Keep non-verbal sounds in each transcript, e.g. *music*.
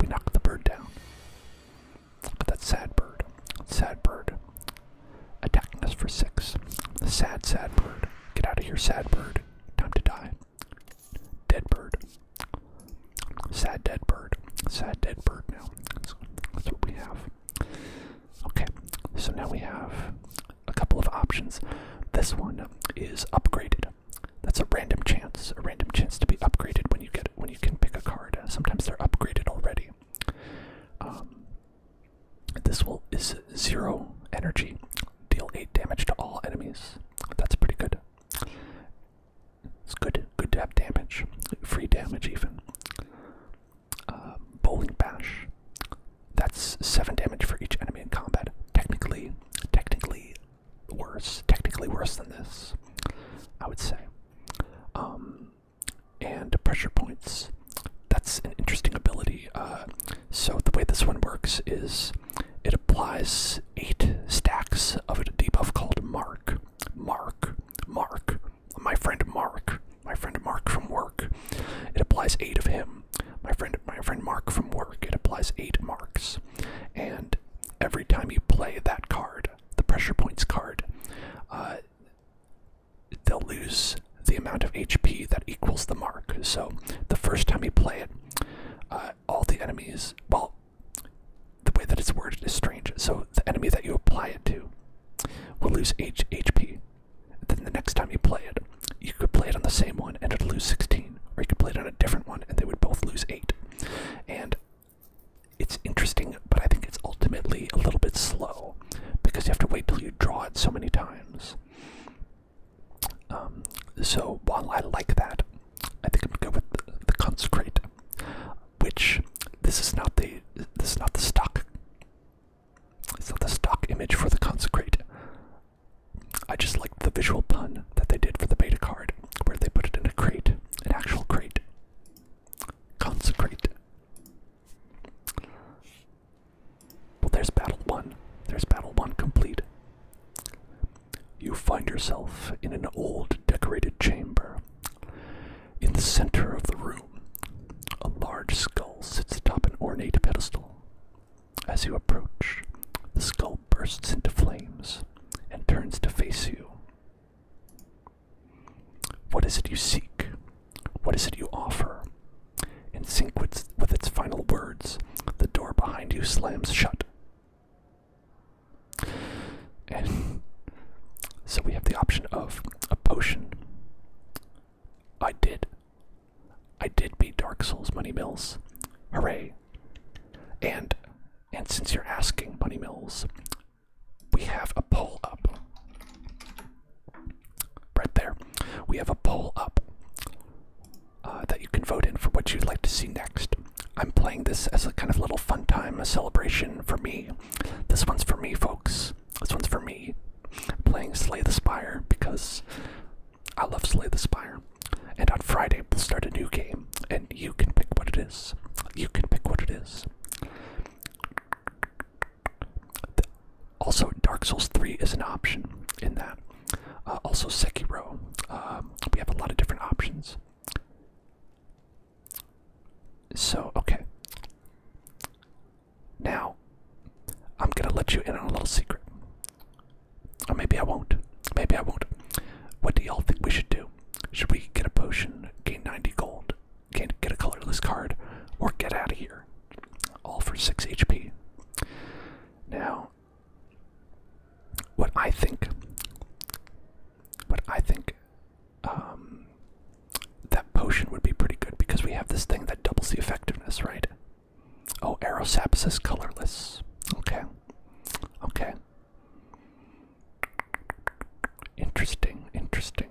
We knocked the bird down. But that sad bird, sad bird, attacking us for six. Sad, sad bird. Get out of here, sad bird. Time to die. Dead bird. Sad dead bird. Sad dead bird now. that's what we have. Okay, so now we have a couple of options. This one is upgraded that's a random chance, a random chance to be upgraded when you get when you can pick a card. Sometimes they're upgraded already. Um, this will is zero energy, deal eight damage to all enemies. That's pretty good. It's good, good to have damage, free damage even. Uh, bowling bash. That's seven damage for each enemy in combat. Technically, technically, worse, technically worse than this, I would say. Um, and pressure points. That's an interesting ability. Uh, so the way this one works is it applies eight stacks of a debuff called Mark. Mark. Mark. My friend Mark. My friend Mark from work. It applies eight of him. My friend, my friend Mark from work. It applies eight marks, and every time you play that card, the pressure points card, uh, they'll lose the amount of HP that equals the mark. So the first time you play it, uh, all the enemies, well, the way that it's worded is strange. So the enemy that you apply it to will lose HP. Then the next time you play it, you could play it on the same one and it'll lose 16, or you could play it on a different one and they would both lose 8. And it's interesting, but I think it's ultimately a little bit slow because you have to wait till you draw it so many times. Um, so while I like that, I think I'm good with the, consecrate, which this is not the this is not the stock. It's not the stock image for the consecrate. I just liked the visual pun that they did for the beta card, where they put it in a crate an actual crate. Consecrate. Well, there's battle one. There's battle one complete. You find yourself in an old decorated chamber. In the center of the room, a large skull sits atop an ornate pedestal. As you approach, the skull bursts into flames and turns to face you. What is it you seek? What is it you offer? In sync with, its final words, the door behind you slams shut. so we have the option of a potion. I did. I did beat Dark Souls Money Mills. Hooray. And and since you're asking, Bunny Mills, we have a poll up. Right there. We have a poll up uh, that you can vote in for what you'd like to see next. I'm playing this as a kind of little fun time, a celebration for me. This one's for me, folks. This one's for me. playing Slay the Spire because I love Slay the Spire. And on Friday, we'll start a new game, and you can pick what it is. You can pick what it is. Also, Dark Souls 3 is an option in that. Uh, also, Sekiro. Um, we have a lot of different options. So, okay. Now, I'm gonna let you in on a little secret. Or maybe I won't. Maybe I won't. What do y'all think we should do? Should we get a potion, gain 90 gold, gain, get a colorless card, or get out of here? All for 6 HP. Now, what I think, what I think, um, that potion would be pretty good because we have this thing that doubles the effectiveness, right? Oh, Aerosap is colorless. Okay. Okay. Interesting, interesting.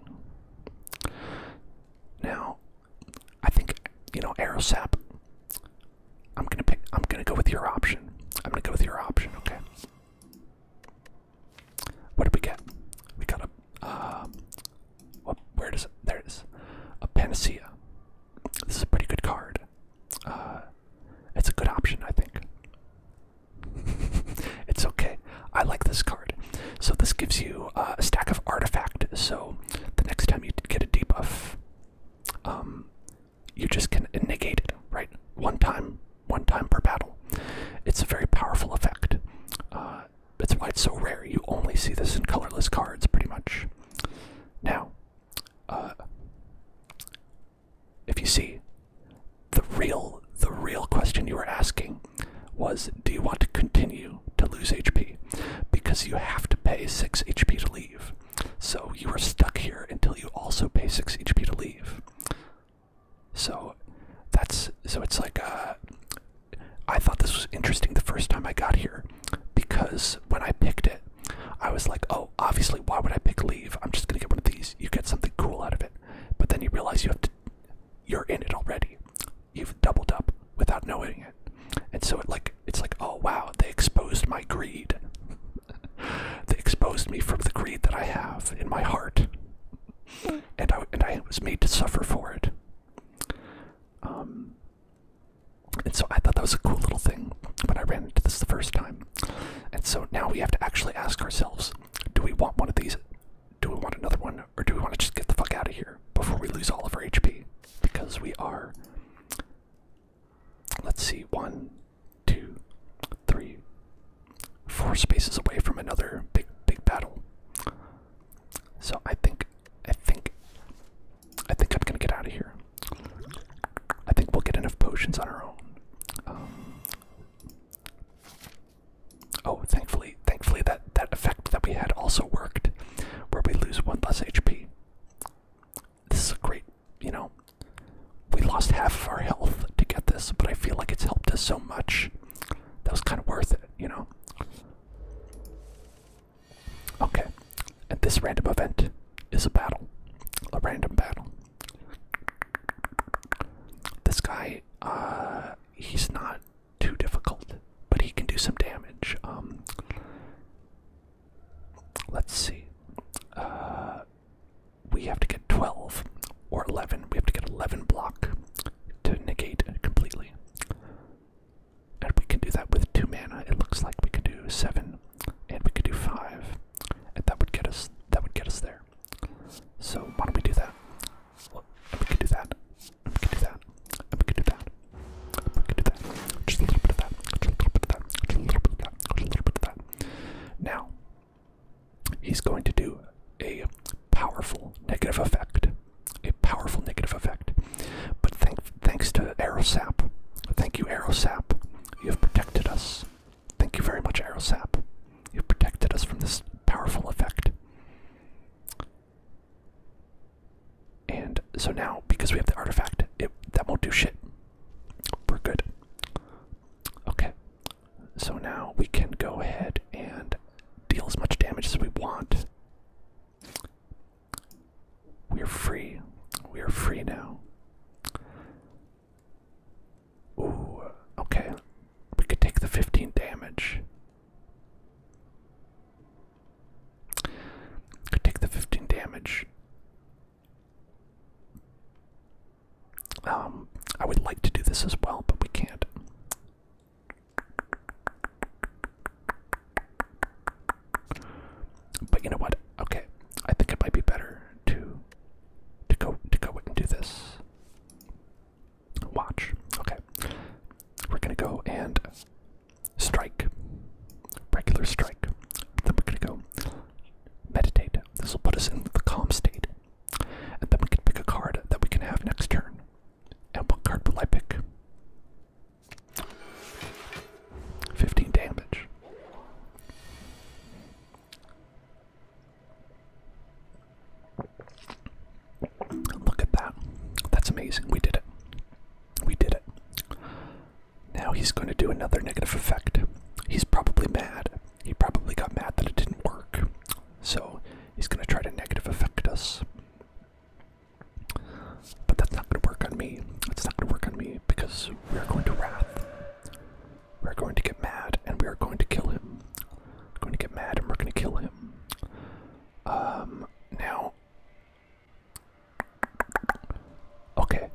Now, I think you know Aerosap. I'm gonna pick. I'm gonna go with your option. I'm gonna go with your option. Okay. What did we get? We got a. Uh, where does it? There A Panacea. This is a pretty good card. Uh, it's a good option, I think. *laughs* it's okay. I like this card. So this gives you uh, a stack of artifact. So the next time you get a debuff, um, you just can negate it, right? One time, one time per battle. It's a very powerful effect. That's uh, why it's so rare. You only see this in colorless cards, pretty much. Now, uh, if you see, the real the real question you were asking was do you want to continue to lose HP? Because you have to pay 6 HP to leave. So you are stuck here until you also pay 6 HP to leave. So that's so it's like uh, I thought this was interesting the first time I got here because when I picked it I was like, "Oh, obviously, why would I pick leave? I'm just gonna get one of these. You get something cool out of it, but then you realize you have to. You're in it already. You've doubled up without knowing it, and so like it's like, oh wow, they exposed my greed. *laughs* they exposed me from the greed that I have in my heart, and I and I was made to suffer for it. Um. And so I thought that was a cool little thing when I ran into this the first time. And so now we have to actually ask ourselves do we want one of these? Do we want another one? Or do we want to just get the fuck out of here before we lose all of our HP? Because we are. Let's see, one, two, three, four spaces away from another big, big battle. So I think, I think, I think I'm gonna get out of here. I think we'll get enough potions on our own. Um, Oh, thankfully, thankfully that that effect that we had also worked, where we lose one less HP. This is a great, you know, we lost half of our health to get this, but I feel like it's helped us so much. That was kind of worth it, you know. Okay, and this random event is a battle, a random battle. This guy, uh, he's not too difficult, but he can do some damage. Um, let's see. Uh, we have to get 12 or 11. We have to get 11 block to negate completely. And we can do that with 2 mana. It looks like we can do 7 and we could do five, and that would get us that would get us there. So why don't we do that? we could do that. we could do that. we could do that. we could do that. Just a little bit of that. Just a little bit of that. Just a little bit of that. Just a little bit of that. Now he's going to do a powerful negative effect. A powerful negative effect. But thank, thanks to Aerosap, thank you Aerosap, you have protected us. Thank you very much, Aerosap. You've protected us from this powerful effect. And so now, because we have the artifact, it, that won't do shit. We're good. Okay. So now we can go ahead and deal as much damage as we want. We are free. We are free now. Ooh, okay. We could take the 15 damage. Could take the 15 damage. Um, I would like to do this as well, but we can't. But you know what? Okay, I think it might be better to to go to go and do this. Watch. Okay. We're gonna go and strike. Regular strike. Then we're gonna go meditate. This will put us in the calm state. And then we can pick a card that we can have next turn. And what card will I pick? 15 damage. Look at that. That's amazing. We did it. We did it. Now he's going to do another negative effect. He's probably mad. He probably got mad that it didn't work. So he's going to try to negative affect us. But that's not going to work on me. It's not going to work on me because we're going to wrath. We're going to get mad and we are going to kill him. We're going to get mad and we're going to kill him. Um, now. Okay.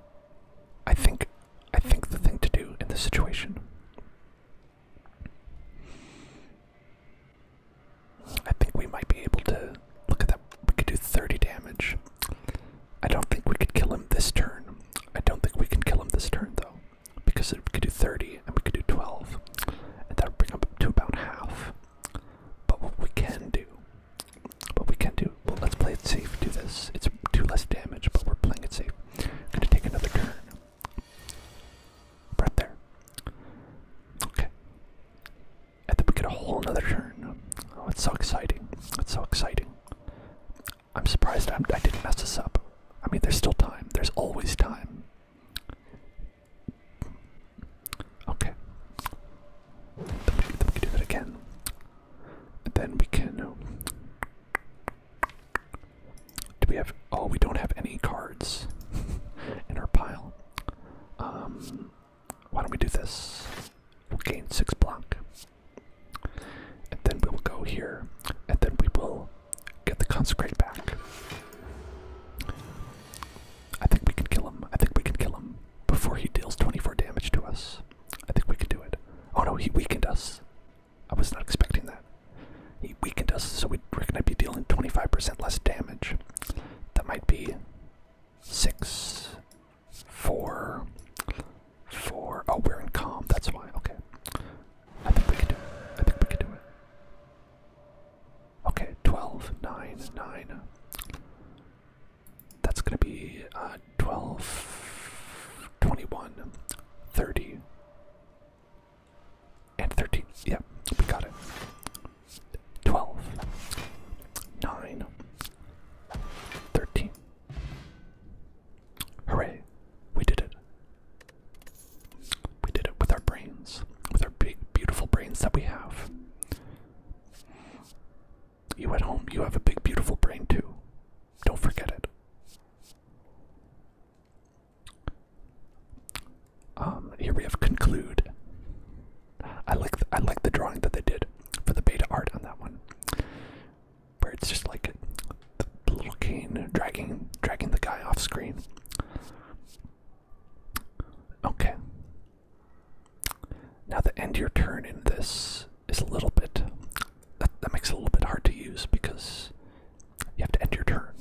I think I think the thing to do in this situation I think we might be able to look at that we could do 30 damage. I don't think we could kill him this turn. I don't think we can kill him this turn though, because we could do 30 and we could do 12, and that will bring up to about half. But what we can do, what we can do, well, let's play it safe. Do this. It's two less damage, but we're playing it safe. We're gonna take another turn. Right there. Okay. And then we get a whole another turn. Oh, it's so exciting. It's so exciting. I'm surprised I'm, I am surprised i did not mess this up. I mean, there's still time. There's always time. Okay. Then we, then we do that again. then we can. Uh, do we have. Oh, we don't have any cards *laughs* in our pile. Um, why don't we do this? gain six block. And then we will go here, and then we will get the consecrate back. I think we can kill him. I think we can kill him before he deals 24 damage to us. I think we can do it. Oh no, he weakened us. I was not expecting that. He weakened us, so we're gonna be dealing 25% less damage. That might be six, four, four. Oh, we're in calm. That's why. Okay. I think we can do it. I think we can do it. Okay. 12, 9, 9. That's going to be uh, 12, 21, 30, and 13. Yep, yeah, we got it. 12, 9, 13. Hooray, we did it. We did it with our brains, with our big, beautiful brains that we have. You at home, you have a big, beautiful brain too. Don't forget it. Um, here we have conclude. I like I like the drawing that they did for the beta art on that one where it's just like the little cane dragging dragging the guy off screen. Okay. Now the end your turn in this is a little bit that, makes it a little bit hard to use because you have to end your turn.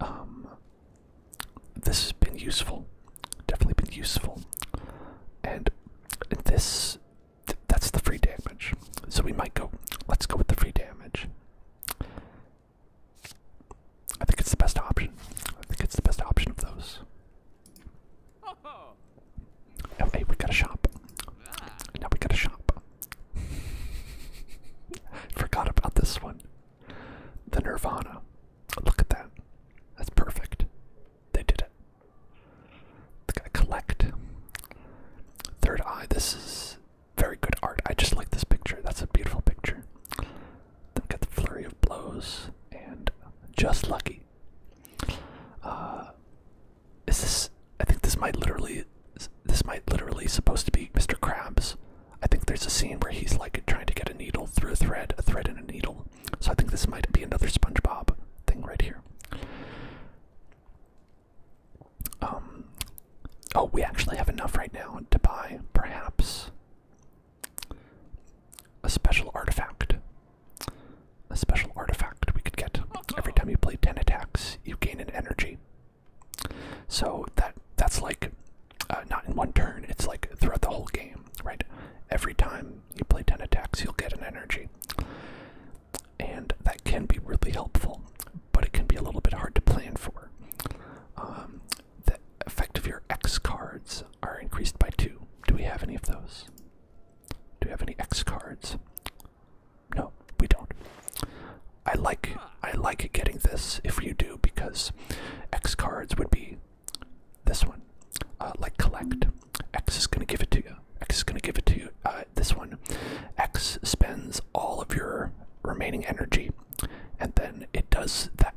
Um this has been useful. Definitely been useful. And this that's the free damage. So we might go. Let's go with the free damage. I think it's the best option. I think it's the best option of those. Oh, hey, we got a shop. Now we got a shop. *laughs* Forgot about this one. The Nirvana. Look at that. That's perfect. They did it. They gotta collect. Third eye. This is very good art. I just like this picture. That's a beautiful picture. Then got the flurry of blows and just lucky. Uh, is this? I think this might literally. This might literally supposed to be Mr. Krabs. I think there's a scene where he's like trying to get a needle through a thread, a thread and a needle. So I think this might be another SpongeBob thing right here. Um, oh, we actually have enough right now to buy perhaps a special artifact. A special artifact we could get every time you play 10 attacks, you gain an energy. So that that's like uh, not in one turn, it's like throughout the whole game, right? Every time you play 10 attacks, you'll get an energy and that can be really helpful, but it can be a little bit hard to plan for. Um, the effect of your X cards are increased by two. Do we have any of those? Do we have any X cards? No, we don't. I like I like getting this if you do because X cards would be this one, uh, like collect. X is going to give it to you. X is going to give it to you. Uh, this one. X spends all of your remaining energy and then it does that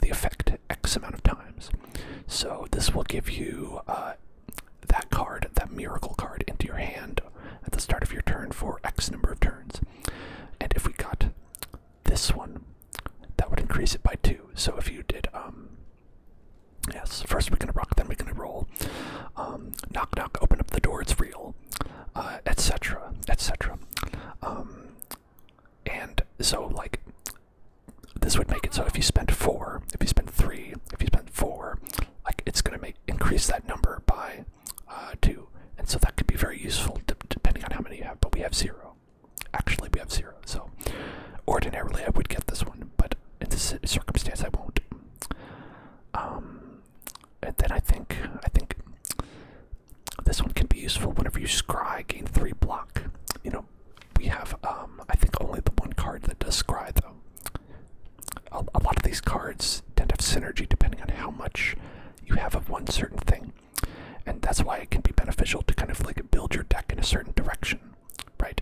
the effect X amount of times. So this will give you uh, that card, that miracle card, into your hand at the start of your turn for X number of turns. And if we got this one, that would increase it by two. So if you did um, Yes, first we're gonna rock, then we're gonna roll. Um, knock, knock, open up the door, it's real, uh, etc., etc. Um, and so, like, this would make it so if you spend four, if you spend three, if you spend four, like, it's gonna make increase that number by uh, two. And so that could be very useful depending on how many you have, but we have zero. Actually, we have zero, so ordinarily I would get this one, but in this circumstance, I won't. Um, and then I think I think this one can be useful whenever you scry, gain three block. You know, we have um, I think only the one card that does scry though. a lot of these cards tend to have synergy depending on how much you have of one certain thing, and that's why it can be beneficial to kind of like build your deck in a certain direction right?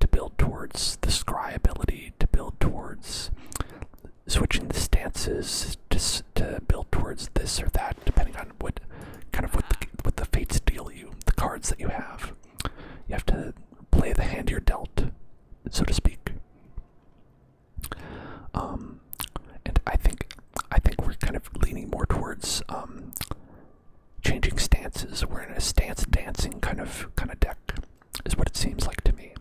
To build towards the scry ability, to build towards switching the stances, just to build towards this or that, depending on what kind of what what the fates deal you, the cards that you have. You have to play the hand you're dealt, so to speak. Um, and I think I think we're kind of leaning more towards um, changing stances. We're in a stance dancing kind of kind of deck, is what it seems like to me.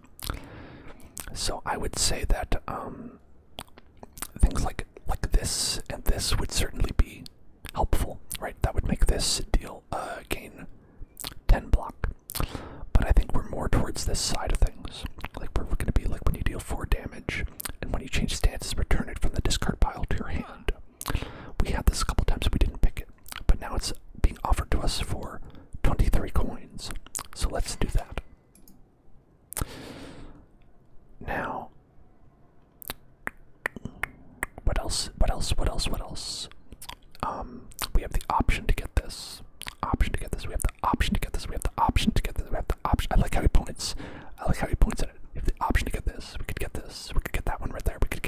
So I would say that um, things like like this and this would certainly be helpful, right? That would make this deal uh, gain ten block. But I think we're more towards this side of things. Like we're going to be like when you deal four damage, and when you change stances, return it from the discard pile to your hand. We had this a couple times, we didn't pick it, but now it's being offered to us for 23 coins. So let's do that. Now, what else? What else? What else? What else? Um, we have the option to get this. Option to get this. We have the option to get this. We have the option to get this. We have the option. I like how he points. I like how he points at it. We have the option to get this. We could get this. We could get that one right there. We could get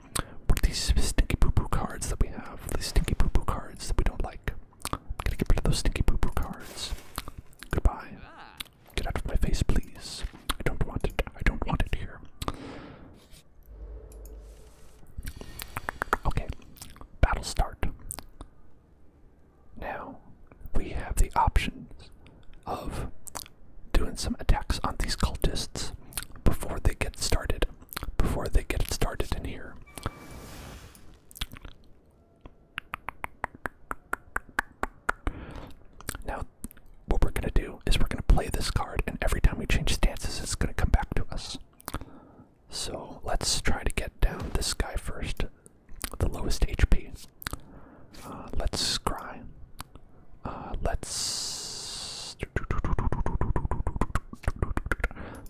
what are these stinky poo poo cards that we have, these stinky poo poo cards that we don't like. I'm gonna get rid of those stinky poo poo cards. Goodbye. Get out of my face, please. I don't want it. I don't want it here. Okay, battle start. Now we have the options of doing some attacks on these cultists before they get started before they get started in here. Now, what we're going to do is we're going to play this card, and every time we change stances, it's going to come back to us. So let's try to get down this guy first, the lowest HP. Uh, let's scry. Uh, let's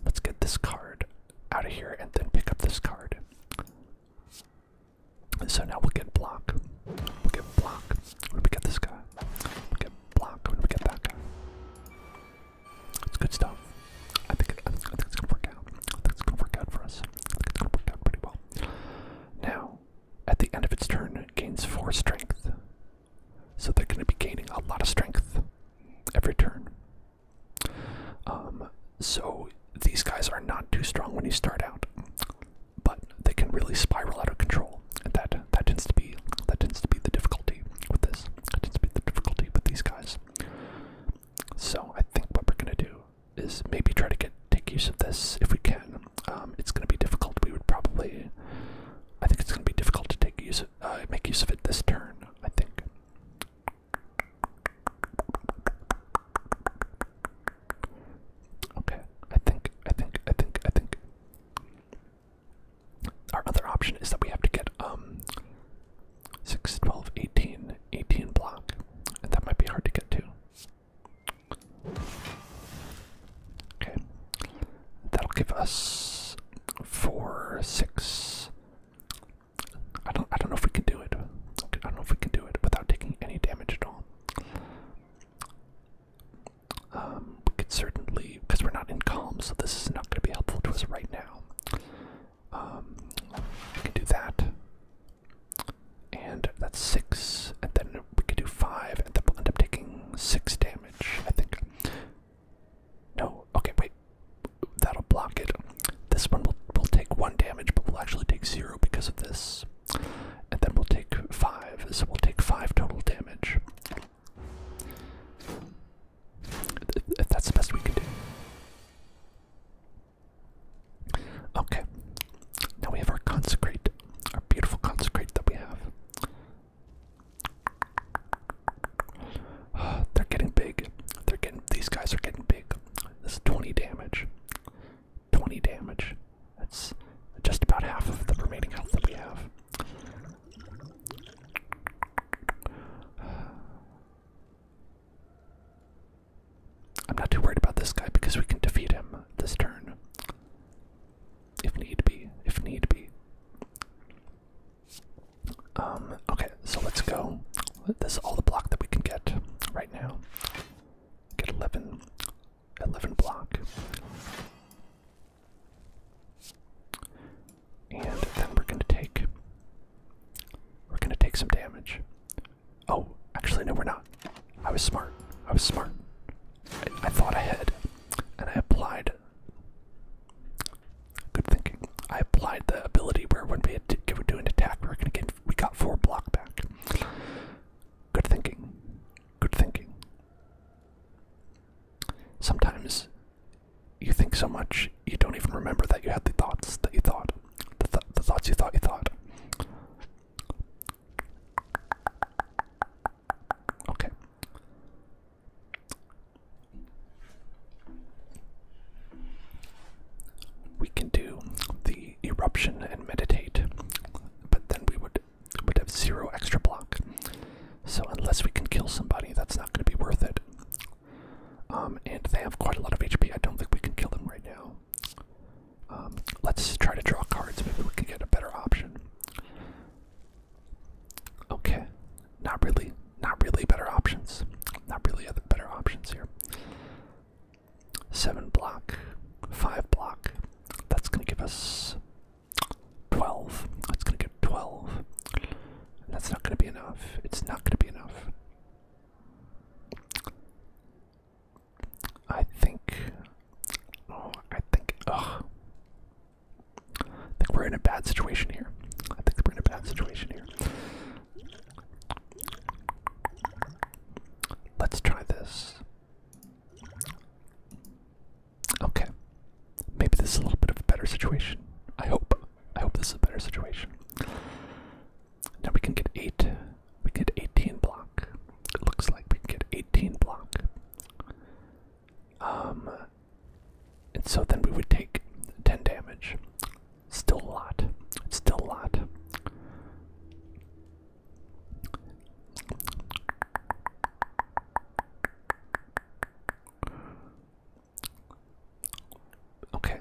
Let's get this card out of here and then pick up this card. So now we'll get block. We'll get block. When we get this guy, we'll get block. When we get that guy, it's good stuff. I think, it's gonna work out. I think it's gonna work out for us. it's gonna work out pretty well. Now, at the end of its turn, it gains four strength. So they're going to be gaining a lot of strength every turn. Um, so these guys are not too strong when you start out, but they can really spiral out of control, and that that tends to be that tends to be the difficulty with this. tends to be the difficulty with these guys. So I think what we're going to do is maybe try to get take use of this if we can. Um, it's going to be difficult. We would probably. I think it's going to be difficult to take use of. Uh, make use of it this turn, I think. Okay, I think, I think, I think, I think. Our other option is that we have to get um, 6, 12, 18, block, and that might be hard to get to. Okay, That'll give us four, six. I don't. I don't know if we can do it. I don't know if we can do it without taking any damage at all. Um, we could certainly, because we're not in calm, so this is not going to be helpful to us right now. Um, we can do that, and that's six, and then we could do five, and then we'll end up taking six damage, I think. No, okay, wait. That'll block it. This one will, will take one damage, but we'll actually take zero because of this. And then we'll take five, so we'll take five total damage. If that's the best we can do. Okay. Now we have our consecrate, our beautiful consecrate that we have. *sighs* They're getting big. They're getting these guys are getting big. This is 20 damage. 20 damage. That's just about half of the remaining health that we have. *sighs* I'm not too worried about this guy because we can defeat him this turn. If need be. If need be. Um, okay, so let's go. This is all the block that we can get right now. Get 11, block. And then we're gonna take, we're gonna take some damage. Oh, actually no we're not. I was smart, I was smart. I, I thought ahead and I applied Good thinking. I applied the ability where when we would do an attack, we were going to get we got four block back. Good thinking. Good thinking. Sometimes you think so much you don't even remember that you had the thoughts that you thought, the, the thoughts you thought you thought. Okay. We can do the eruption and meditate, but then we would would have zero extra block. So unless we can kill somebody, that's not going to be worth it. Um, and they have quite a lot of HP. I don't think we can kill them right now. Um, let's try to draw cards. Maybe we can get a better option. Okay, not really, not really better options. Not really other better options here. Seven block, five block. That's gonna give us twelve. That's gonna give twelve. that's not gonna be enough. It's not gonna be enough. I think. Oh, I think. Ugh. I think we're in a bad situation here. I think we're in a bad situation here. Let's try this. Okay. Maybe this is a little bit of a better situation. I hope. I hope this is a better situation. Now we can get 8. We get 18 block. It looks like we can get 18 block. Um, and so then we would take 10 damage. Still a lot. Still a lot. Okay.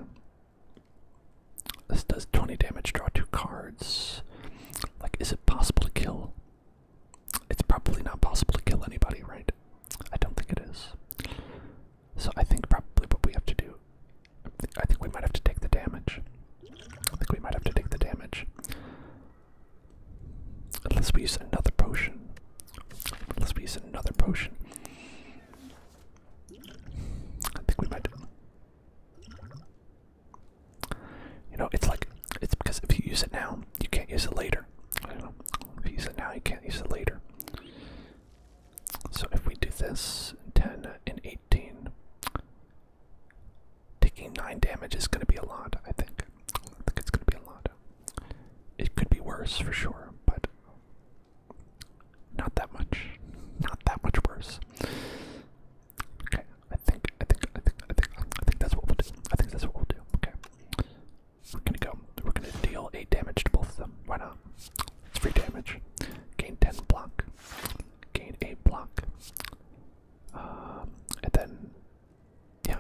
This does 20 damage, draw two cards. Like, is it possible to kill? It's probably not possible to kill anybody, right? I don't think it is. So I think probably what we have to do. I think we might have to take the damage. I think we might have to take the damage. Unless we use another potion. Unless we use another potion. I think we might. You know, it's like. It's because if you use it now, you can't use it later. I don't use it now, you can't use it later. So if we do this, 10 and 18, taking 9 damage is going to be a lot, I think. I think it's going to be a lot. It could be worse for sure, but not that much. Not that much worse. Okay, I think, I think, I think, I think, I think that's what we'll do. I think that's what we'll do. Okay. We're gonna go. We're gonna deal 8 damage to both of them. Why not? It's free damage. Gain 10 block. Gain 8 block. Um, and then, yeah.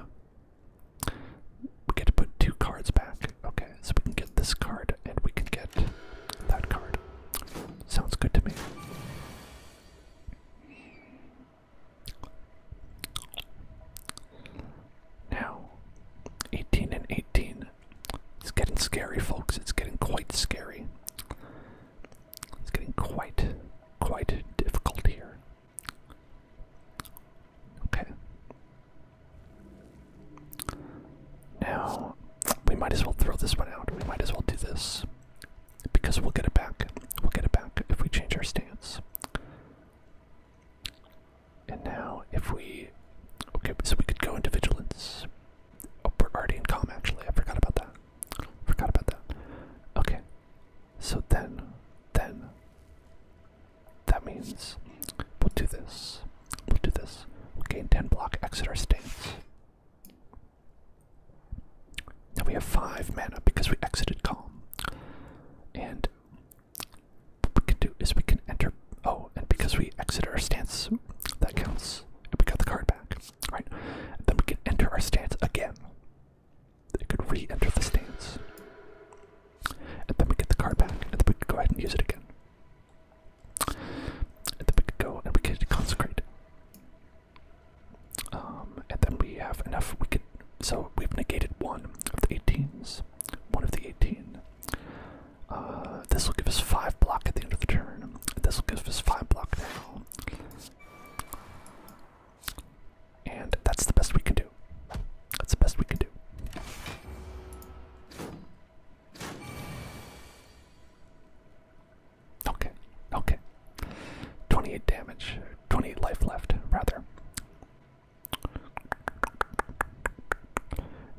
We get to put two cards back. Okay, so we can get this card and we can get that card. Sounds good to me. Now, 18 and 18. It's getting scary, folks. It's getting quite scary. It's getting quite, quite difficult here. Okay. Now, we might as well throw this one out. We might as well do this. Because we'll get it back. We'll get it back if we change our stance. And now, if we. Okay, so we could go into vigilance. Oh, we're already in calm, actually. I forgot about that. Forgot about that. Okay. So then, then. That means we'll do this. We'll do this. we gain 10 block, exit our stance. Now we have 5 mana because we exited Calm. And what we can do is we can enter. Oh, and because we exit our stance, that counts. And we got the card back, right? And then we can enter our stance again. It could re-enter the stance, and then we get the card back, and then we could go ahead and use it again. And then we could go and we could consecrate. Um, and then we have enough. We could. So we've negated one of the 18s one of the 18. Uh, this will give us 5 block at the end of the turn. This will give us 5 block now. And that's the best we can do. That's the best we can do. Okay, okay. 28 damage, 28 life left, rather.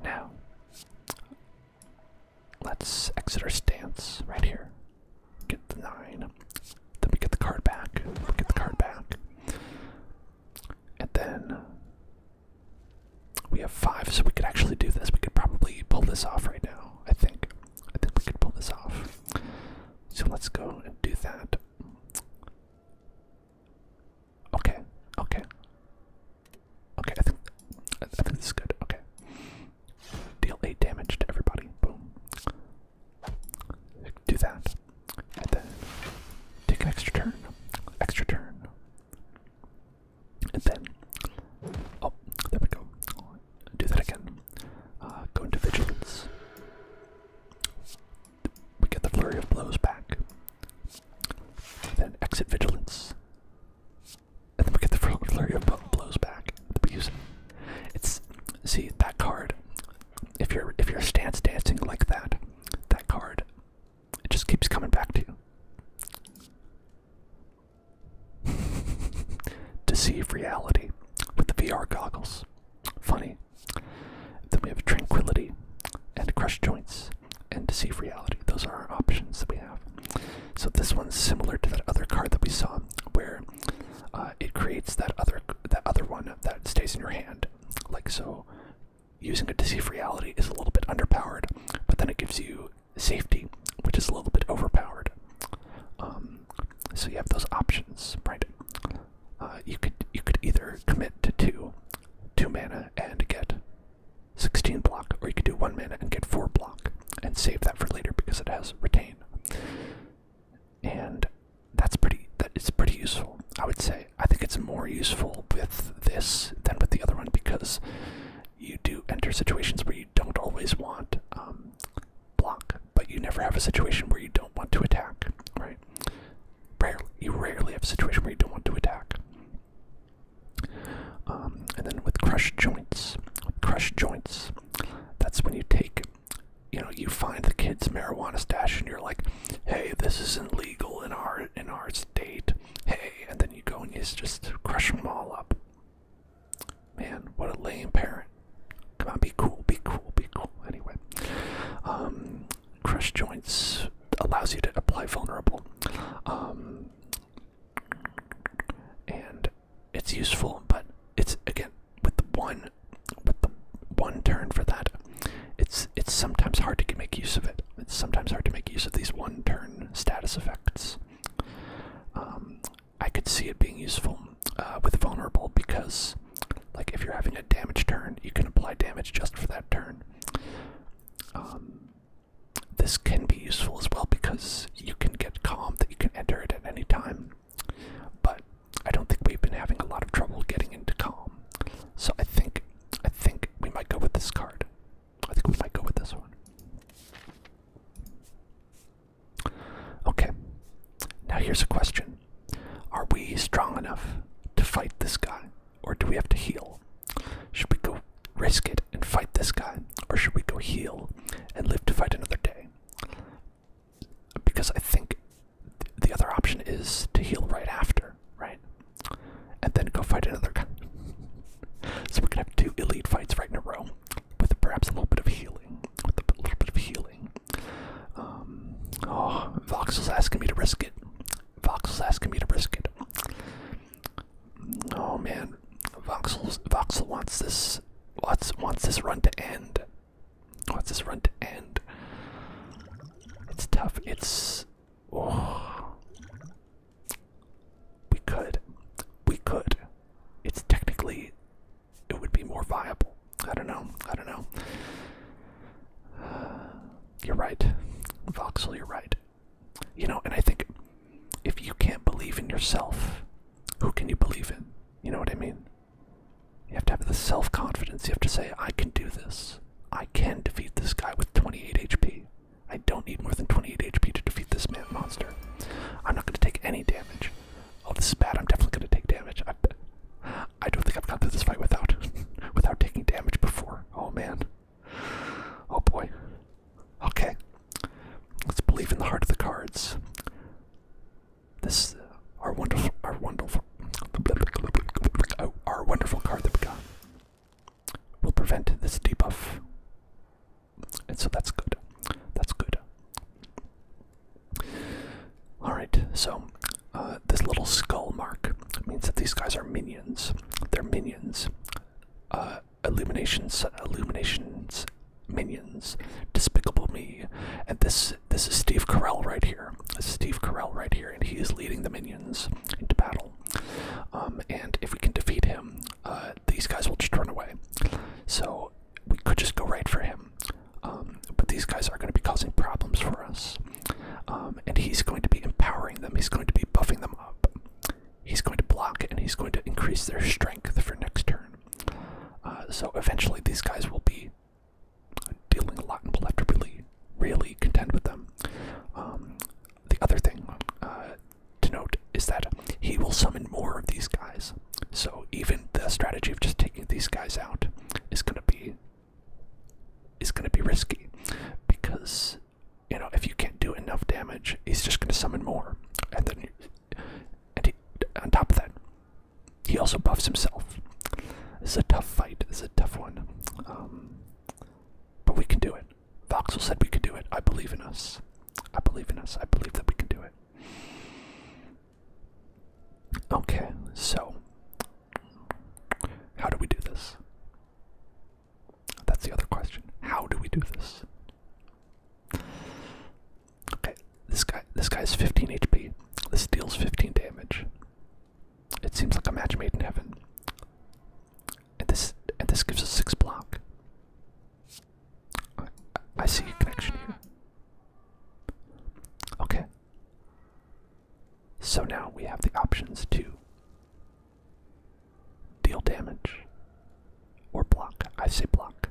Now, let's exit our stance right here. Get the nine. Then we get the card back. get the card back. And then we have five, so we could actually do this. We could probably pull this off right now, I think. I think we could pull this off. So let's go and do that. Okay, okay. Okay, I think I think this is good. Okay. Deal eight damage to everybody. Boom. Do that. And then take an extra turn. Extra turn. And then Oh, there we go. Do that again. Uh, go into vigilance we get the flurry of blows back. Then exit vigilance. And then we get the flurry of blows back. It's see that card. If you're if you're stance dancing like that, that card, it just keeps coming back to you. *laughs* Deceive reality with the VR goggles. Funny. Then we have Tranquility and Crush Joints and Deceive Reality. Those are our options that we have. So this one's similar to that other card that we saw, where uh, it creates that other that other one that stays in your hand. Like so, using a Deceive Reality is a little bit underpowered, but then it gives you Safety, which is a little bit overpowered. Um, so you have those options, right? Uh, you could you could either commit to two two mana and get 16 block, or you could do one mana and get four block and save that for later because it has retain. And that's pretty that is pretty useful, I would say. I think it's more useful with this than with the other one because you do enter situations where you don't always want um, block, but you never have a situation where you don't want to attack, right? Rarely, you rarely have a situation where you don't want to attack. Um, and then with crushed joints, crushed joints, that's when you take, you know, you find the kid's marijuana stash, and you're like, "Hey, this isn't legal in our in our state." Hey, and then you go and you just crush them all up. Man, what a lame parent! Come on, be cool, be cool, be cool. Anyway, um, Crush joints allows you to apply vulnerable, um, and it's useful. But it's again with the one, with the one turn for that. It's it's sometimes hard to make use of it. It's sometimes hard to make use of these one turn status effects. Um, I could see it being useful uh, with vulnerable because like if you're having a damage turn, you can apply damage just for that turn. Um, this can be useful as well because you can get calm that you can enter it at any time. But I don't think we've been having a lot of trouble getting into calm. So I think I think we might go with this card. I think we might go with this one. Okay. Now here's a question. Are we strong enough to fight this guy? Or do we have to heal? Should we go risk it and fight this guy? Or should we go heal and live to fight another day? Because I think the other option is to heal right after, right? And then go fight another guy. *laughs* so we're gonna have two elite fights right in a row, with perhaps a little bit of healing. With a little bit of healing. Um, oh, Vox was asking me to risk it. Voxel's asking me to risk it. Oh man, Voxel's, Voxel wants this wants wants this run to end. Wants this run to end. It's tough. It's oh. we could, we could. It's technically, it would be more viable. I don't know. I don't know. *sighs* you're right. Voxel, you're right. You know, and I think if you can't believe in yourself, who can you believe in? You know what I mean? You have to have the self confidence. You have to say, I can do this. I can defeat this guy with 28 HP. I don't need more than 28 HP to defeat this man monster. I'm not going to take any damage. Oh, this is bad. I'm definitely going to take damage. I don't think I've gone through this fight without *laughs* without taking damage before. Oh man. Oh boy. Okay. Let's believe in the heart of the cards. This uh, our wonderful our wonderful oh, our wonderful card that we got will prevent this debuff. And so that's good. That's good. Alright, so uh, this little skull mark means that these guys are minions. They're minions. Uh, illuminations, illuminations, minions, despicable me. And this this is Steve Carell right here. This is Steve Carell right here, and he is leading the minions into battle. Um, and if we can defeat him, uh, these guys will just run away. So we could just go right for him. Um, but these guys are going to be causing problems for us. Um, and he's going to be empowering them, he's going to be buffing them up, he's going to block, and he's going to increase their strength for next turn. Uh, so eventually, these guys will be dealing a lot, and we'll have to really, really contend with them. Um, the other thing uh, to note is that he will summon more of these guys. So even the strategy of just taking these guys out is going to be is going to be risky because you know if you can't do enough damage, he's just going to summon more, and then and he, on top of that, he also buffs himself. This is a tough fight. This is a tough one, um, but we can do it. Voxel said we could do it. I believe in us. I believe in us. I believe that we can do it. Okay, so how do we do this? That's the other question. How do we do this? Okay, this guy this guy's 15 HP. This deals 15 damage. It seems like a match made in heaven. And this and this gives us six block. I see a connection here. Okay. So now we have the options to deal damage or block. I say block.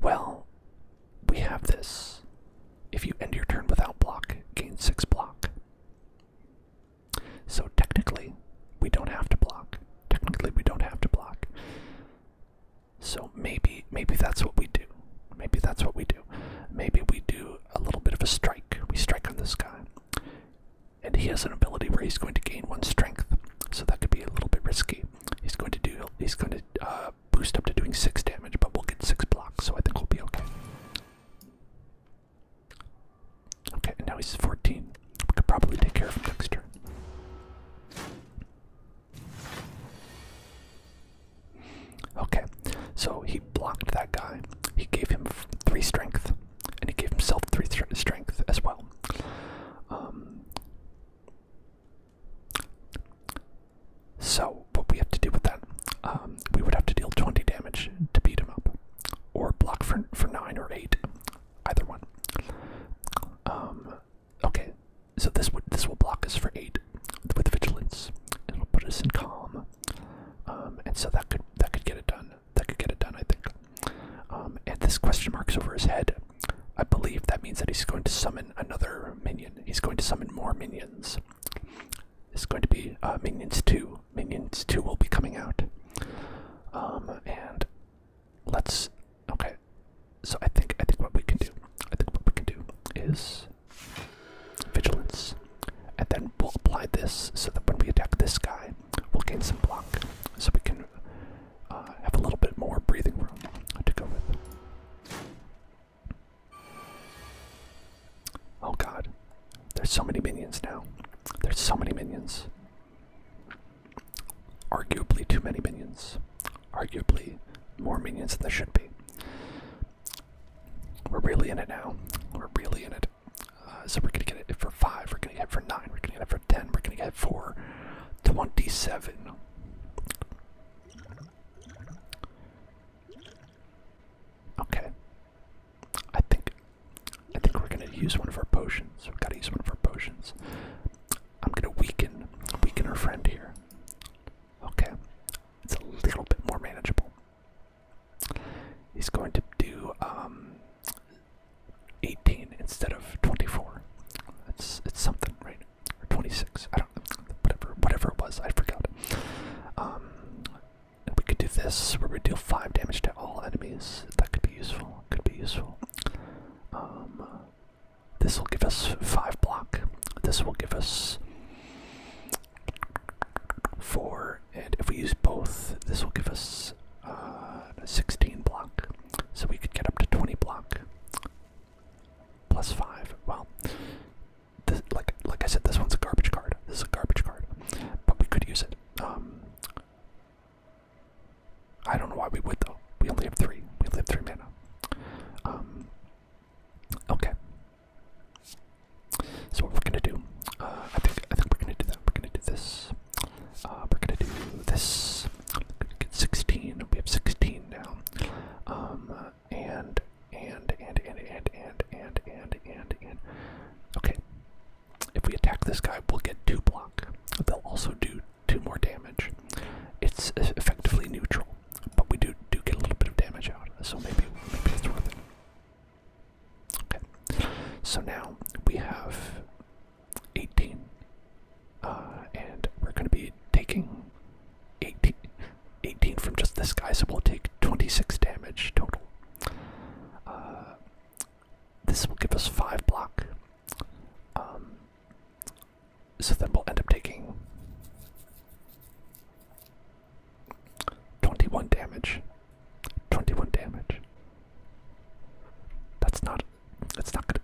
Well, we have this. If you end your turn without block, gain 6 block. So technically, we don't have to block. Technically, we don't have to block. So maybe maybe that's what we do. Maybe that's what we do. Maybe we do a little bit of a strike. We strike on this guy. And he has an ability where he's going to gain one strength. So that could be a little bit risky. He's going to do he's going to uh, boost up to doing six damage, but we'll get six blocks, so I think we'll be okay. Okay, now he's 14. We could probably take care of him next turn. Okay, so he blocked that guy. He gave him three strength, and he gave himself three strength as well. Um, so, what we have to do with that, um, we would have to deal 20 damage to beat him up, or block for, for 9 or 8, either one. Um, okay, so this, would, this will block us for 8 with vigilance, and it'll put us in calm. Um, and so that could that could get it done. That could get it done, I think. Um, and this question mark's over his head. I believe that means that he's going to summon another minion. He's going to summon more minions. This is going to be uh, Minions 2. Minions 2 will be coming out. Um, and let's okay. So I think I think what we can do. I think what we can do is vigilance, and then we'll apply this so that when we attack this guy, we'll gain some block, so we can uh, have a little bit more breathing room to go Oh god, there's so many minions now. There's so many minions. Arguably too many minions. Arguably more minions than there should be. We're really in it now. We're really in it. Uh, so we're gonna get it for five. We're gonna get it for nine. We're gonna get it for ten. We're gonna get it for twenty-seven. Okay. I think I think we're gonna use one of our potions. We've gotta use one of our potions. I'm gonna weaken weaken our friend here. Okay. It's a little bit more manageable he's going to do um, 18 instead of 24. It's it's something, right? 26. I don't know. Whatever, whatever it was, I forgot. Um, we could do this where we deal 5 damage to all enemies. That could be useful. Could be useful. Um, this will give us 5 block. This will give us 4, and if we use both, this will give us a uh, 16 block. So we could get up to 20 block. Plus 5. Well, like, like I said, this one's a garbage card. This is a garbage card. But we could use it. Um, I don't know why we would, though. We only have 3. We only have 3 mana. Um, Okay. So what we're gonna do? Uh, I think I think we're gonna do that. We're gonna do this. Uh, we're gonna do this. Gonna get 16. We have 16 now. Um, and and and and and and and and and and. Okay. If we attack this guy, we'll get two block. They'll also do two more damage. It's effectively neutral, but we do do get a little bit of damage out. So maybe maybe it's worth it. Okay, so now we have 18, uh, and we're going to be taking 18, from just this guy, so we'll take 26 damage total. Uh, this will give us 5 block. Um, so then we'll end up taking 21 damage. 21 damage. That's not. That's not good.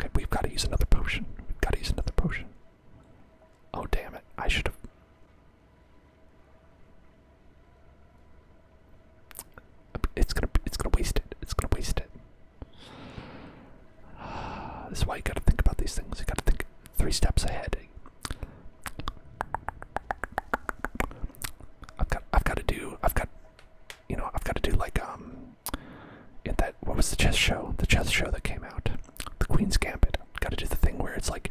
Okay, we've got to use another potion. We've got to use another potion. Oh, damn it. I should have. It's gonna, it's gonna waste it. It's gonna waste it. Uh, *sighs* this is why you gotta think about these things. You gotta think three steps ahead. I've got I've got to do I've got you know I've got to do like um in that what was the chess show the chess show that came out the Queen's Gambit got to do the thing where it's like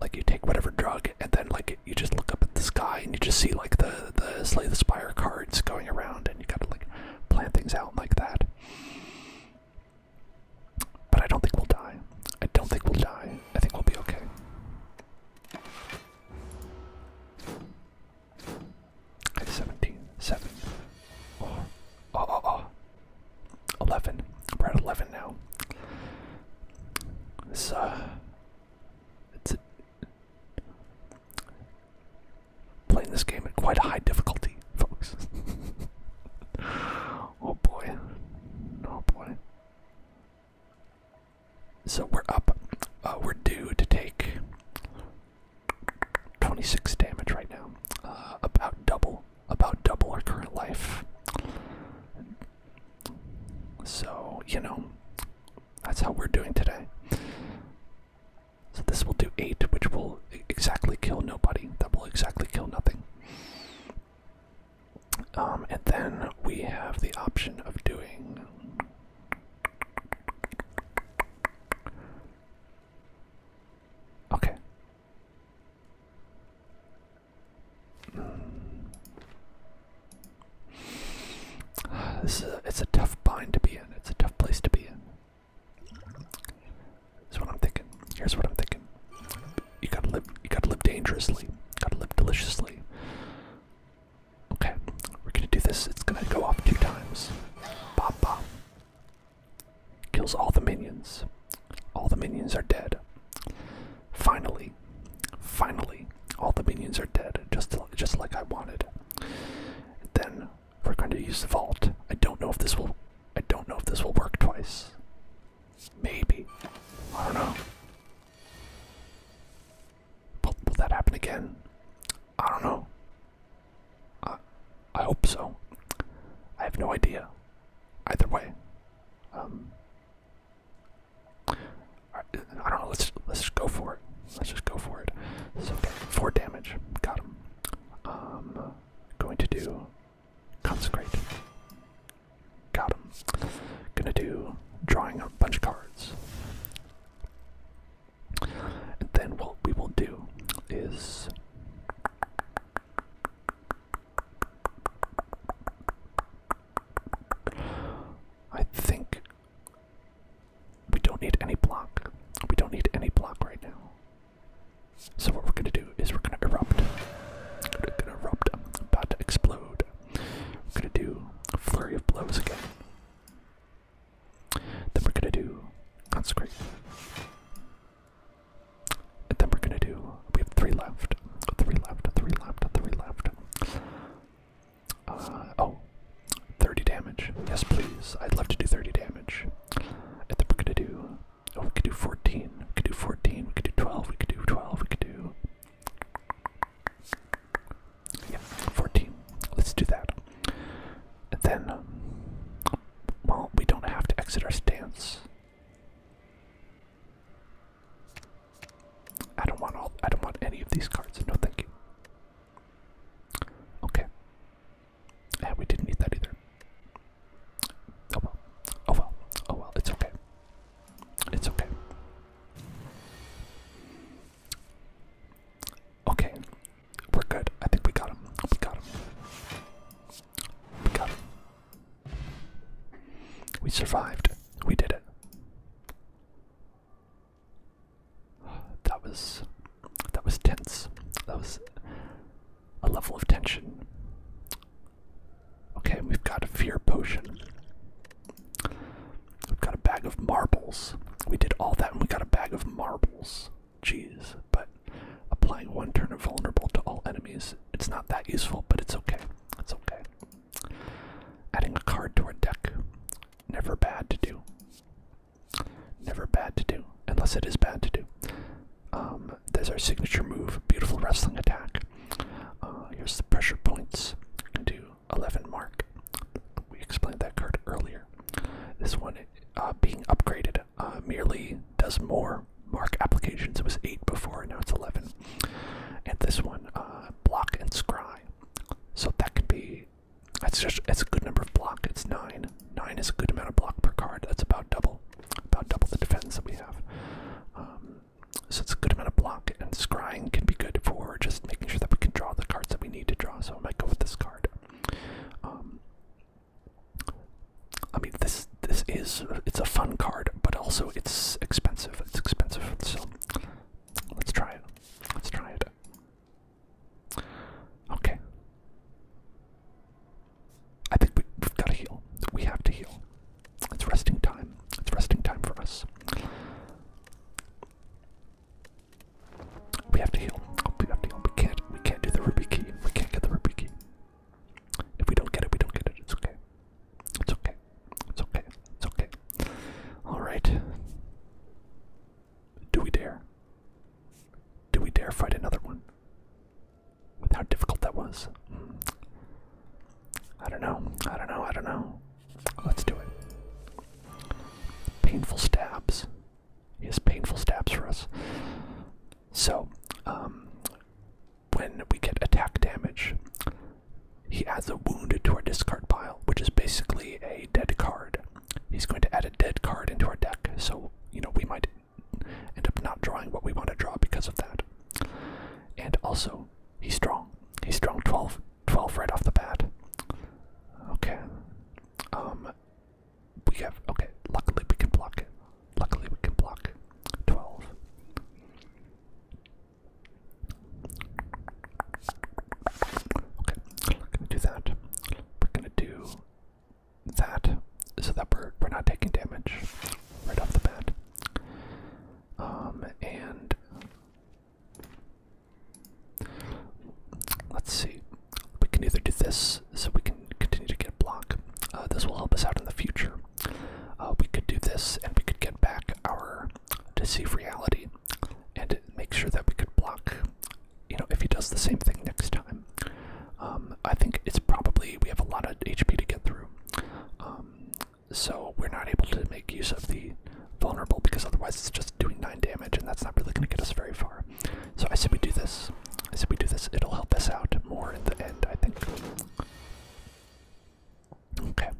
like you take whatever drug and then like you just look up at the sky and you just see like the the slay the spire cards going around and you got to like plant things out like that but I don't think we'll die. I don't think we'll die. I think we'll be okay. Okay, 17, 7, oh, 11. We're at 11 now. Uh, it's, it's playing this game at quite a high difficulty folks. *laughs* oh boy. Oh boy. So we're up. Uh, we're due to take 26 damage right now. Uh, about double. About double our current life. So, you know, that's how we're doing today. So this will do 8, which will exactly kill nobody. That will exactly kill nothing. Um, and then we have the option of doing okay. This is it's a tough bind to be in. It's a tough place to be in. That's what I'm thinking. Here's what I'm thinking. You gotta live. You gotta live dangerously. Gotta live deliciously. Okay, we're gonna do this. It's gonna go off two times. Pop pop. Kills all the minions. All the minions are dead. Finally, finally, all the minions are dead. Just, just like I wanted. Then we're going to use the vault. I don't know if this will. I don't know if this will work twice. Maybe. I don't know. Will, that happen again? I don't know. I, I hope so. I have no idea. Either way. Um, I, don't know. Let's let's just go for it. Let's just go for it. okay. four damage. Got him. Um, going to do Consecrate. Got him. Gonna do drawing a bunch of cards. And then what we will do is. I think we don't need any block. We don't need any block right now. So what we're gonna do is we're gonna erupt. We're gonna erupt. about to explode. We're gonna do a flurry of blows again. Then we're gonna do consecrate. And then we're gonna do. We have three left. Three left. Three left. Three left. Uh, 30 damage. Yes, please. I'd love to do 30 damage. And then we're gonna do Oh, we could do 14. We could do 14. We could do 12. We could do 12. We could do. 14. Let's do that. then, um, well, we don't have to exit our stance. I don't want all. I don't want any of these cards. No, thank you. Okay. Yeah, we didn't need that either. Oh well. Oh well. Oh well. It's okay. It's okay. Okay. We're good. I think we got him. We got him. We got him. We survived. We did it. That was that was tense. That was a level of tension. Okay, we've got a fear potion. We've got a bag of marbles. We did all that and we got a bag of marbles. Jeez, but applying one turn of vulnerable to all enemies, it's not that useful, but it's okay. It's okay. Adding a card to our deck. Never bad to do. Never bad to do, unless it is bad to do. Um, there's our signature move, beautiful wrestling attack. Uh, here's the pressure points to 11 mark. We explained that card earlier. This one uh, being upgraded uh, merely does more mark applications. It was 8 before, now it's 11. And this one, block and scry. So that can be. That's just it's a good number of block. It's nine. Nine is a good amount of block per card. That's about double about double the defense that we have. Um, so it's a good amount of block, and scrying can be good for just making sure that we can draw the cards that we need to draw. So I might go with this card. Um, I mean, this this is it's a fun card, but also it's expensive. It's expensive, so let's try it. Let's try it. Okay. I think we, have got to heal. We have to heal. It's resting time. It's resting time for us. We have to heal. Oh, we have to heal. We can't. We can't do the ruby key. We can't get the ruby key. If we don't get it, we don't get it. It's okay. It's okay. It's okay. It's okay. All right. Do we dare? Do we dare fight another one? With how difficult that was. I don't know. I don't know. I don't know. Let's do it. Painful stabs. He has painful stabs for us. So, um, when we get attack damage, he adds a wound to our discard pile, which is basically a dead card. He's going to add a dead card into our deck, so, you know, we might end up not drawing what we want to draw because of that. And also, he's strong. He's strong 12, 12 right off the bat. Okay. Um, we have, okay, luckily we can block it. Luckily we can block 12. Okay, we're gonna do that. We're gonna do that so that we're, we're not taking damage right off the bat. Um, and let's see. We can either do this so we can continue to get block. Uh, this will help us out in the future. Uh, we could do this and we could get back our deceive reality and make sure that we could block, you know, if he does the same thing next time. Um, I think it's probably we have a lot of HP to get through, um, so we're not able to make use of the vulnerable because otherwise it's just doing nine damage, and that's not really going to get us very far. So I said we do this. I said we do this. It'll help us out more in the end, I think. Okay,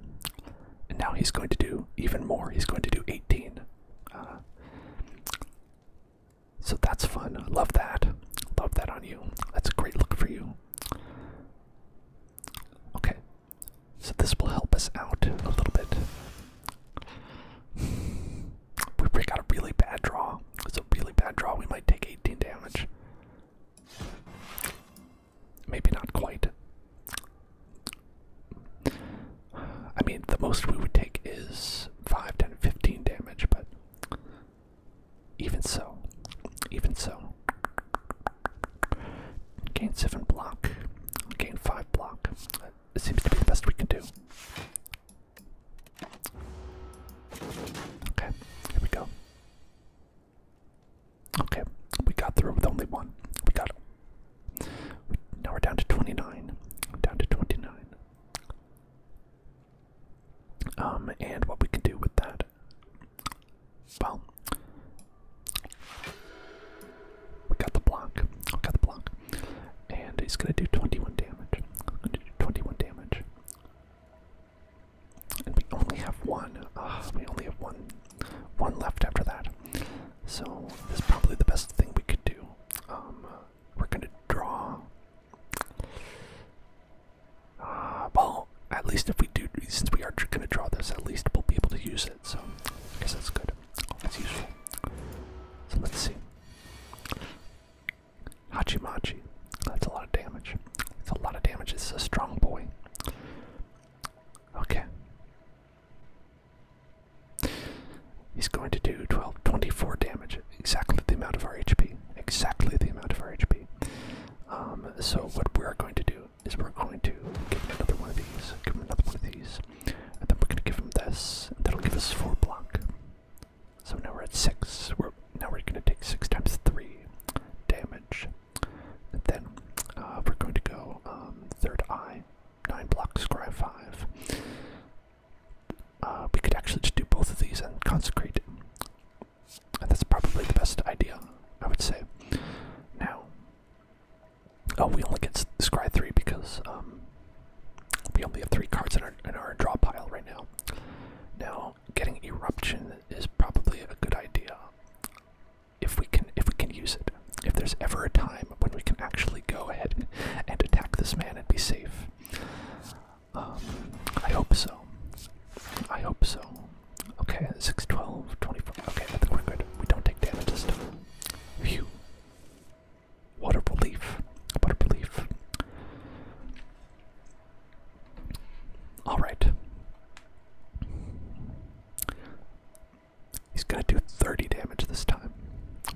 and now he's going to do even more. He's going to do 18. Uh, so that's fun. Love that. Love that on you. That's a great look for you. Okay, so this will help us out a little bit. We break out a really bad draw. It's a really bad draw. We might take 18 damage. Maybe not quite. I mean, the most we would take is 5, 10, 15 damage, but even so, even so. Gain 7 block, gain 5 block. It seems to be the best we can do. Okay, here we go. Okay, we got through with only one. We got it. Now we're down to 29. Down to 29. Um, and what we can do with that. Well, we got the block. We got the block, and he's gonna do 21 damage. I'm gonna do 21 damage, and we only have one. Ah, we only have one, one left after that. So this is probably the best thing we could do. Um, uh, we're gonna draw uh, well, at least if we do, since we are going to draw this, at least we'll be able to use it. So that's good. That's useful. So let's see. Hachimachi. That's a lot of damage. It's a lot of damage. It's a strong boy. Okay. He's going to do twelve twenty-four damage. Exactly the amount of our HP. Exactly the amount of our HP. Um, so what we're going to do is we're going to give him another one of these, give him another one of these, and then we're going to give him this, and that'll give us four block. So now we're at six. We're now we're going to take six times three damage. And then uh, we're going to go um, third eye, nine blocks, cry five. Uh, we could actually just do both of these and consecrate that's probably the best idea, I would say. Now, oh, we only get Scry 3 because um, we only have 3 cards in our, in our draw pile right now. Now, getting Eruption is probably a good idea if we can if we can use it. If there's ever a time when we can actually go ahead and attack this man and be safe. Um, I hope so. I hope so. Okay, 6, 24. Okay, I think we're We don't take damage this time. Phew. What a relief. What a relief. Alright. He's gonna do 30 damage this time.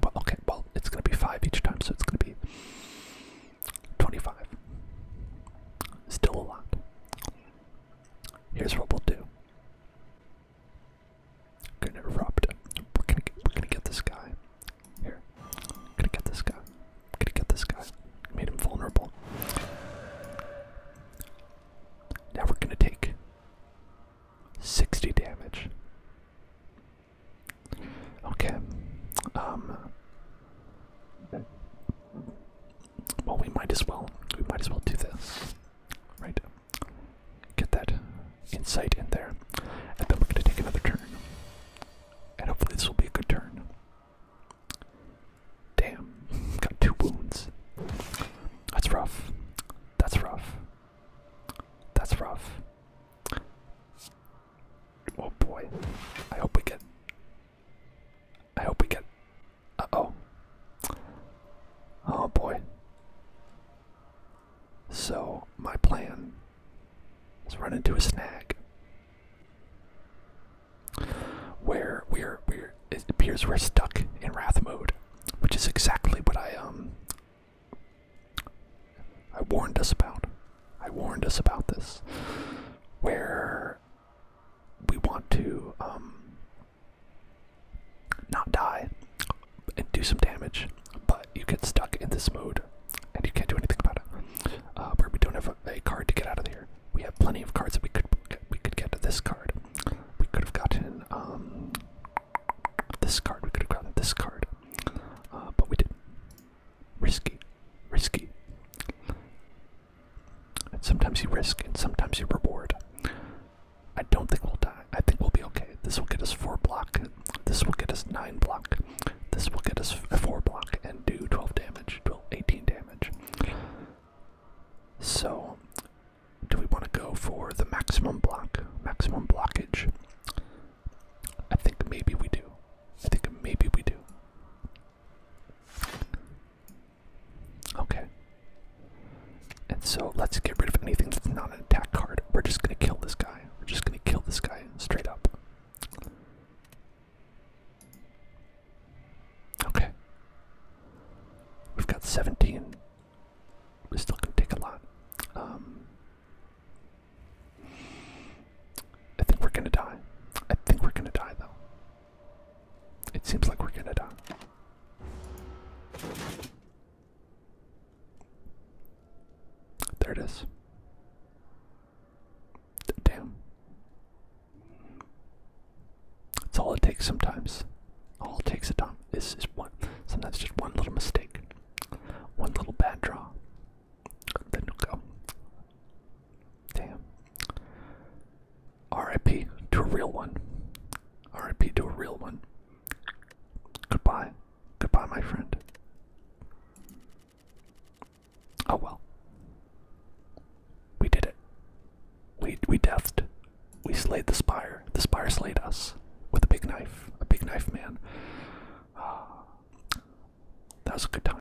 Well, okay, well, it's gonna be 5 each time, so it's gonna be 25. Still a lot. Here's what we'll do. We're gonna erupt. We're gonna get, we're gonna get this guy. Here, gonna get this guy. gonna get this guy. Made him vulnerable. Now we're gonna take 60 damage. Okay. Um. Well, we might as well. We might as well do this. Right. Get that insight in there. And then we're going to take another turn. And hopefully this will be a good turn. Damn. *laughs* Got two wounds. That's rough. That's rough. That's rough. Oh boy. I hope we get I hope we get. Uh oh. Oh boy. So, my plan is run into a snag. Where we're, we're, it appears we're stuck in wrath mode, which is exactly what I, um, I warned us about. I warned us about this. We're we want to um, not die and do some damage, but you get stuck in this mode and you can't do anything about it. Uh, where we don't have a, card to get out of here. We have plenty of cards that we could we could get um, this card. We could have gotten this card. We could have gotten this card, but we didn't risky, risky. And sometimes you risk and sometimes you reward. I don't think we'll die. I think we'll be okay. This will get us four block. This will get us nine block. This will get us four block and do 12 damage, 12, 18 damage. So, do we want to go for the maximum block, maximum blockage? I think maybe we do. I think maybe we do. Okay. And so let's get rid of anything that's not an attack card. We're just gonna kill this guy. We're just gonna kill this guy straight up. Okay. We've got 17. we still going take a lot. Um, I think we're gonna die. I think we're gonna die, though. It seems like we're gonna die. There it is. Damn. It's all it takes sometimes. All it takes a time is, is one. Sometimes just one little mistake, one little bad draw, then you go. Damn. RIP to a real one. RIP to a real one. Goodbye. Goodbye, my friend. Oh well. We did it. We we deathed. We slayed the spire. The spire slayed us with a big knife. A big knife man. Uh, that was a good time.